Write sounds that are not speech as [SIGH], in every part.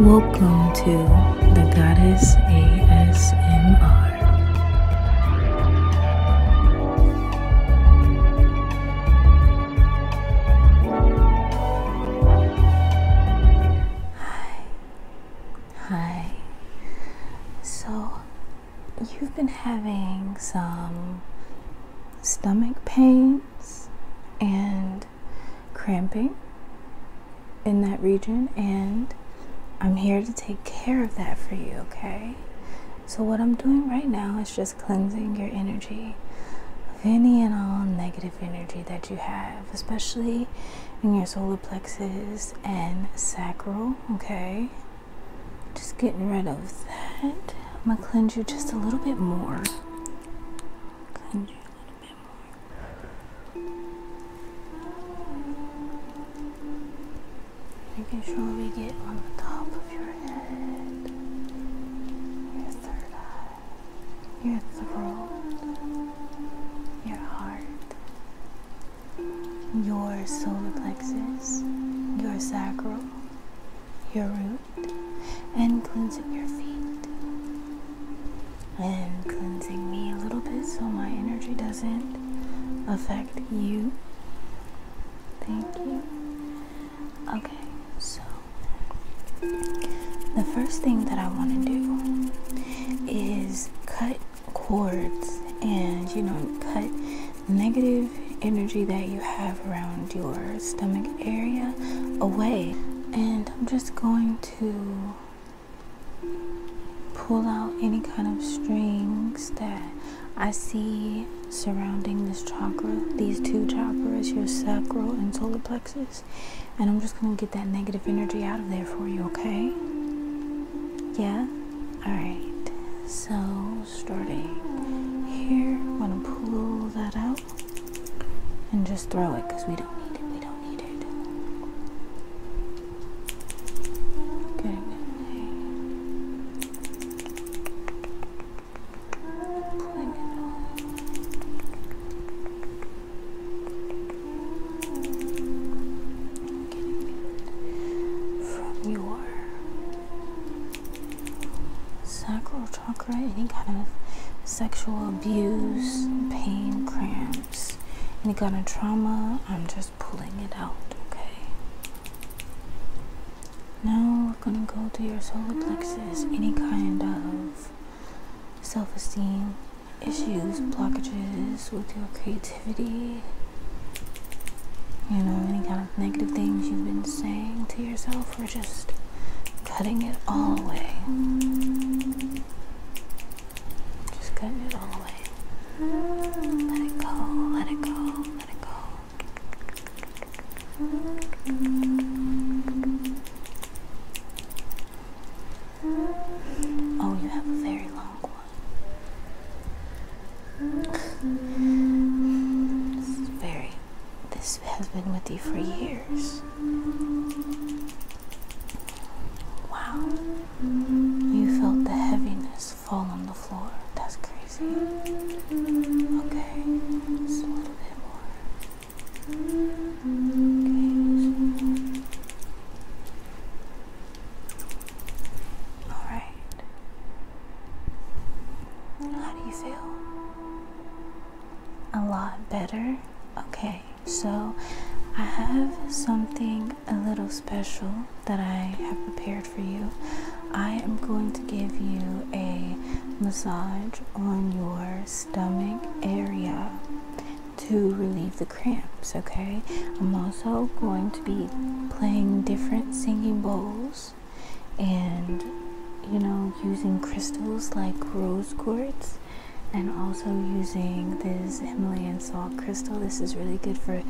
Welcome to the Goddess ASMR. Hi. Hi. So, you've been having some stomach pains and cramping in that region, and I'm here to take care of that for you, okay? So, what I'm doing right now is just cleansing your energy of any and all negative energy that you have, especially in your solar plexus and sacral, okay? Just getting rid of that. I'm gonna cleanse you just a little bit more little Making sure we get on the top of your head, your throat, your heart, your solar plexus, your sacral, your root, and cleansing your feet and cleansing me a little bit so my energy doesn't affect you. Thank you. Okay, so the first thing that I want to do is cut cords and you know, cut negative energy that you have around your stomach area away. And I'm just going to to pull out any kind of strings that I see surrounding this chakra, these two chakras, your sacral and solar plexus. And I'm just going to get that negative energy out of there for you, okay? Yeah? Alright. So, starting here, I'm going to pull that out and just throw it because we don't need it. We don't need it. Okay. From your sacral chakra, any kind of sexual abuse, pain, cramps, any kind of trauma, I'm just pulling it out, okay? Now we're gonna go to your solar plexus, any kind of self esteem issues, blockages with your creativity. You know, any kind of negative things you've been saying to yourself or just cutting it all away. Just cutting it all away. Let it go, let it go, let it go. Oh, you have a very long one. very this has been with you for years. Wow. You felt the heaviness fall on the floor. That's crazy. Okay. Just a little bit more. Okay. Alright. How do you feel? a lot better. Okay, so I have something a little special that I have prepared for you. I am going to give you a massage on your stomach area to relieve the cramps, okay? I'm also going to be playing different singing bowls and, you know, using crystals like rose quartz and also using this Himalayan salt crystal. This is really good for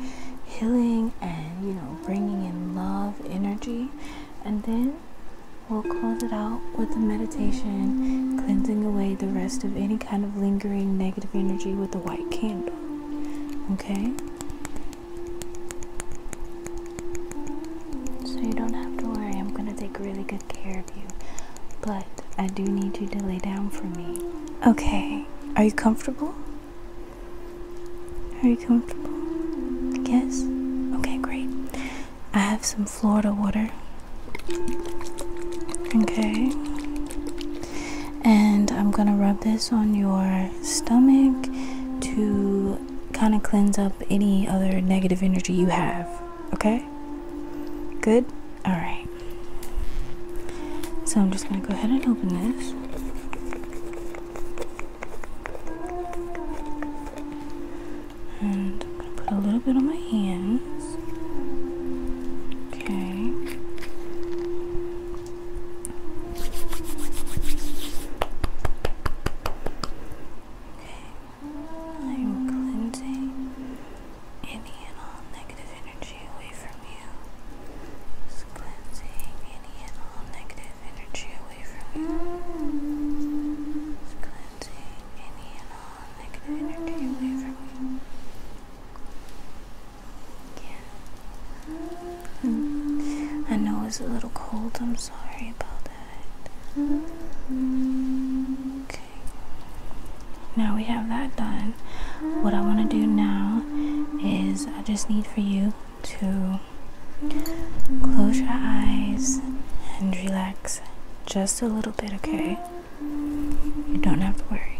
healing and you know bringing in love energy. And then we'll close it out with a meditation, cleansing away the rest of any kind of lingering negative energy with the white candle. Okay. So you don't have to worry. I'm gonna take really good care but I do need you to lay down for me. Okay, are you comfortable? Are you comfortable? Yes? Okay, great. I have some Florida water. Okay. And I'm gonna rub this on your stomach to kind of cleanse up any other negative energy you have. Okay? Good? Alright. So I'm just going to go ahead and open this. And put a little bit on my hands. Okay. I'm cleansing any and all negative energy away from you. cleansing any and all negative energy away from you. cleansing any and all negative energy away from you. Yeah. Hmm. I know it's a little cold, I'm sorry about Okay. Now we have that done. What I want to do now is I just need for you to close your eyes and relax just a little bit, okay? You don't have to worry.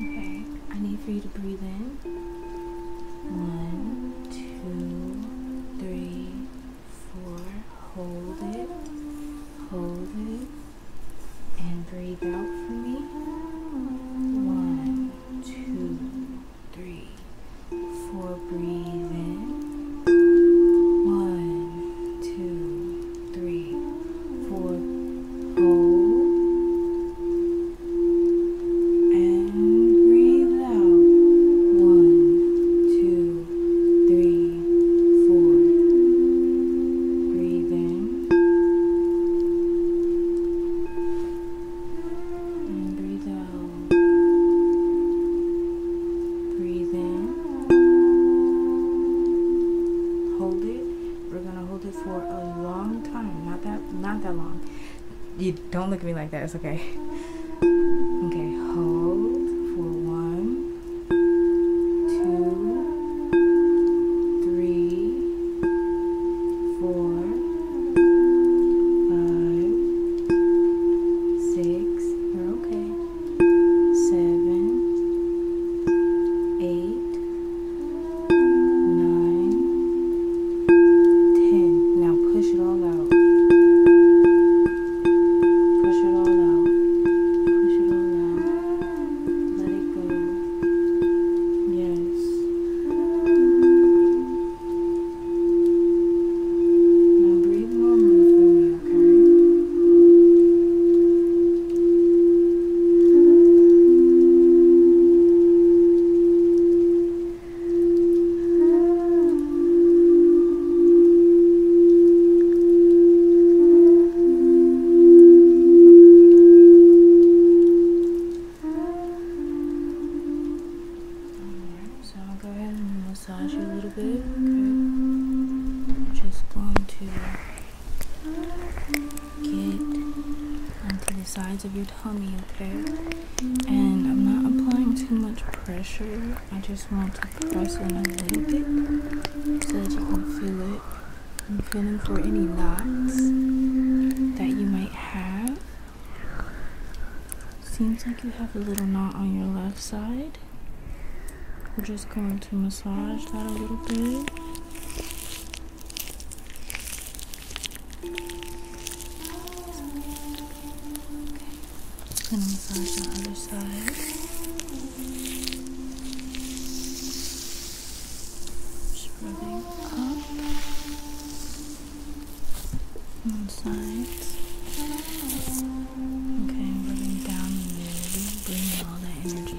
Okay, I need for you to breathe in. One, two, three, four. Hold it, hold it, and breathe out for me. One, two, three, four. Breathe in. One, two, three, four. Hold and breathe out. One, two, three, four. Breathe in and breathe out. Breathe in. Hold it. We're gonna hold it for a long time. Not that not that long. You don't look at me like that, it's okay. Okay, hold for one, two, three, four, five, six. You're okay. Seven, eight, nine, ten. Now push Push it it all all out. breathe normally for me, okay? So I'll go ahead and massage you a little bit. just going to get onto the sides of your tummy, okay? And I'm not applying too much pressure. I just want to press in a little bit so that you can feel it. I'm feeling for any knots that you might have. Seems like you have a little knot on your left side. We're just going to massage that a little bit. going massage the other side. Just rubbing up one side. Okay, rubbing down the nose, bringing all that energy.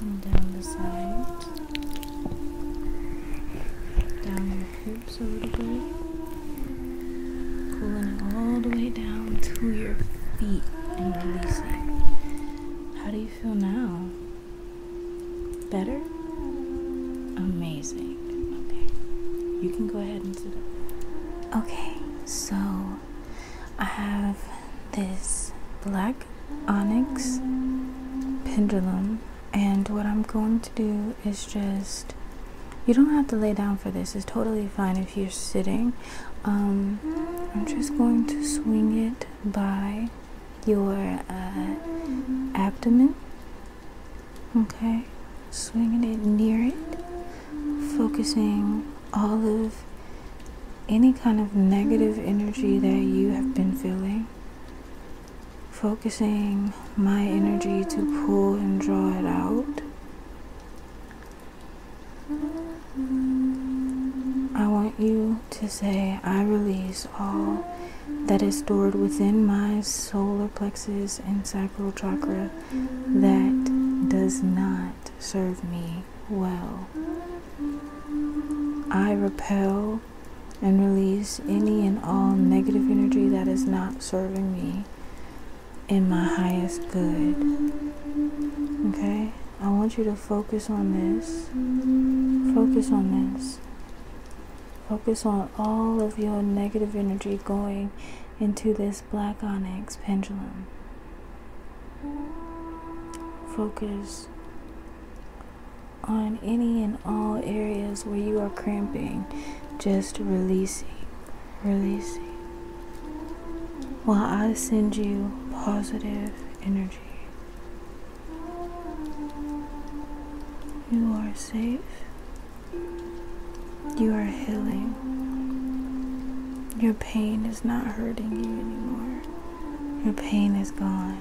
and down the sides, down your hips a little bit, pulling it all the way down to your feet How do you feel now? Better? Amazing. Okay, you can go ahead and sit up. Okay, so I have this black onyx pendulum and what I'm going to do is just you don't have to lay down for this it's totally fine if you're sitting um, I'm just going to swing it by your uh, abdomen okay swinging it near it focusing all of any kind of negative energy that you have been feeling. Focusing my energy to pull and draw it out. I want you to say, I release all that is stored within my solar plexus and sacral chakra that does not serve me well. I repel and release any and all negative energy that is not serving me in my highest good. Okay? I want you to focus on this. Focus on this. Focus on all of your negative energy going into this black onyx pendulum. Focus on any and all areas where you are cramping, just releasing, releasing. While I send you positive energy, you are safe, you are healing, your pain is is not hurting you anymore. Your pain is gone.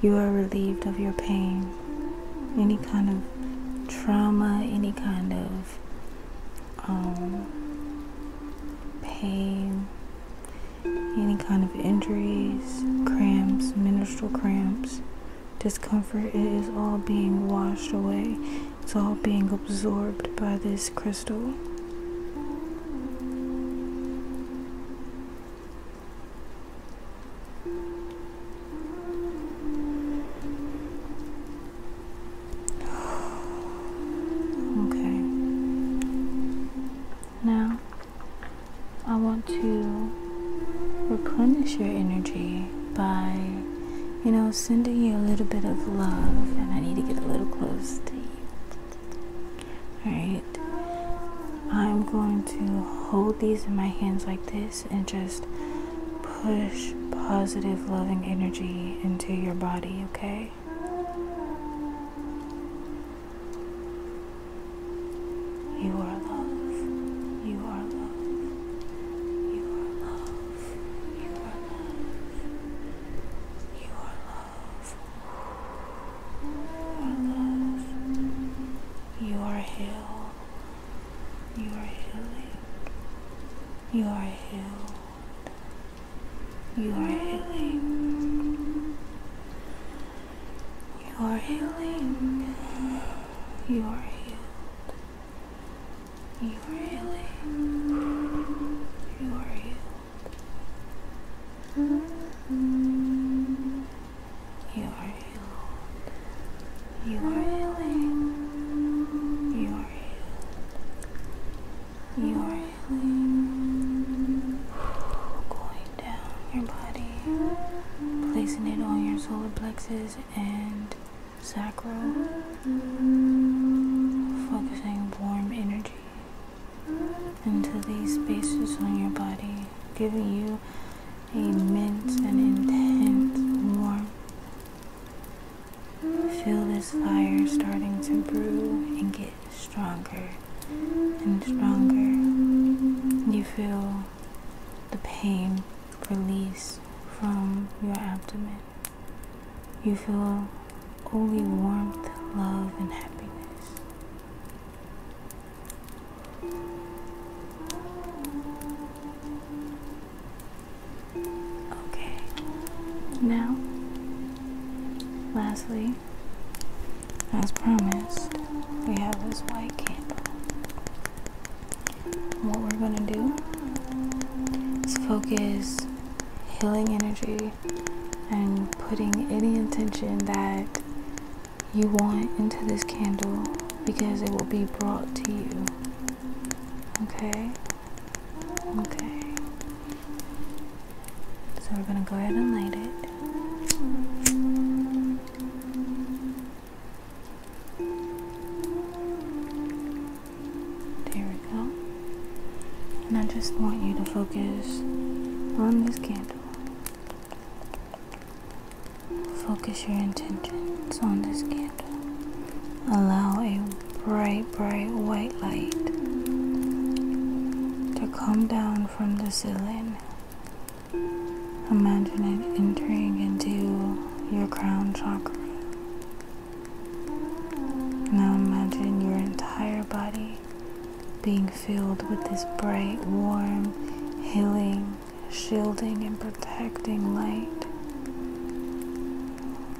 You are relieved of your pain. Any kind of trauma, any kind of um, pain, any kind of injuries, cramps, menstrual cramps, discomfort, it is all being washed away. It's all being absorbed by this crystal. [SIGHS] Okay. Now, I want to replenish your energy by you know, sending you a little bit of love, and I need to get a little close to you. Alright, I'm going to hold these in my hands like this and just push positive, loving energy into your body, okay? You are love. You are love. You are love. You are love. You are love. You love. You are healed. You are healing. You are healed. You are healing. You are healing. You are healed. You really? Who are you? You are healed. You are healing. You are healed. You are healing. Going down your body, placing it on your solar plexus and Sacrum, focusing warm energy into these spaces on your body, giving you immense and intense warmth. Feel this fire starting to brew and get stronger and stronger. You feel the pain release from your abdomen. You feel only warmth, love, and happiness. Okay, now, lastly, as promised, we have this white candle. What we're going to do is focus healing energy and putting any intention that you want into this candle because it will be brought to you. Okay? Okay. So we're going to go ahead and light it. There we go. And I just want you to focus on this candle. Focus your intentions on this candle. Allow a bright, bright white light to come down from the ceiling. Imagine it entering into your crown chakra. Now imagine your entire body being filled with this bright, warm, healing, shielding, and protecting light.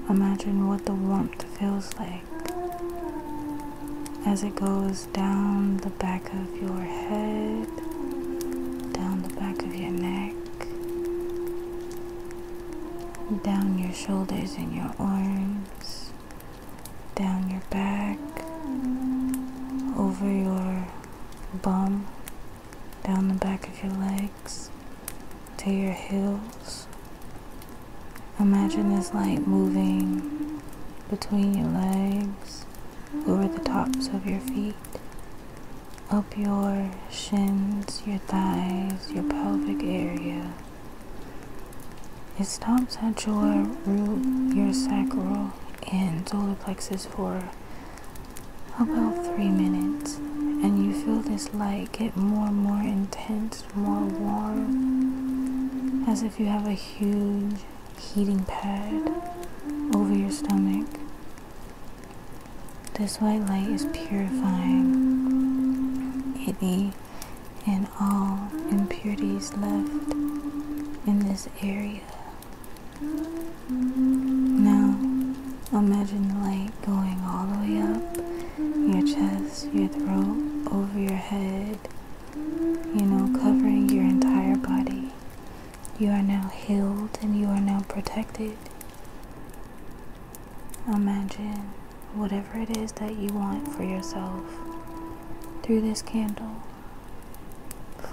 Imagine what the warmth feels like as it goes down the back of your head, down the back of your neck, down your shoulders and your arms, down your back, over your bum, down the back of your legs, to your heels. Imagine this light moving between your legs, over the tops of your feet, up your shins, your thighs, your pelvic area. It stops at your root, your sacral, and solar plexus for about three minutes. And you feel this light get more and more intense, more warm, as if you have a huge heating pad over your stomach. This white light is purifying any and all impurities left in this area. Now, imagine the light going all the way up your chest, your throat, over your head, you know, covering your entire body. You are now healed and you are now protected. Imagine whatever it is that you want for yourself through this candle.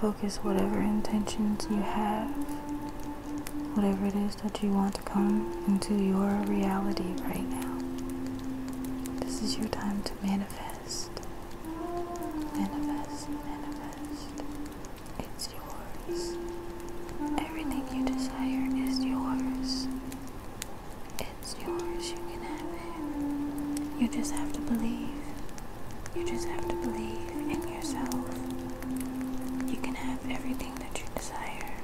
Focus whatever intentions you have, whatever it is that you want to come into your reality right now. This is your time to manifest. Manifest, manifest. It's yours. Everything you desire is yours. It's yours. You can have it. You just have to believe. You just have to believe in yourself. You can have everything that you desire.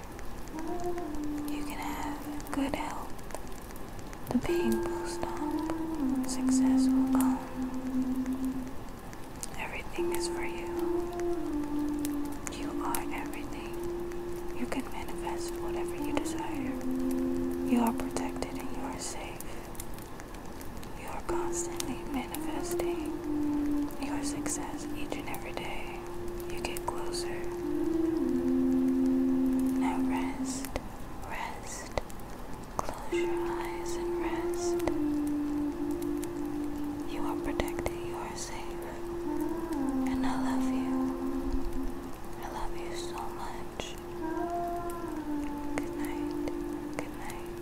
You can have good health. The pain will stop. Success will come. Everything is for you. You are everything. You can manifest whatever you desire. You are protected and you are safe. You are constantly manifesting your success each and every day. You get closer. Now rest, rest. Close your eyes and rest. You are protected, you are are safe. And I love you. I love you so much. Good night. Good night.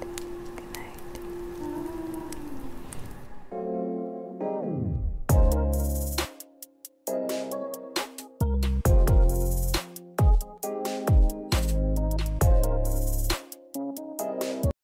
Good night.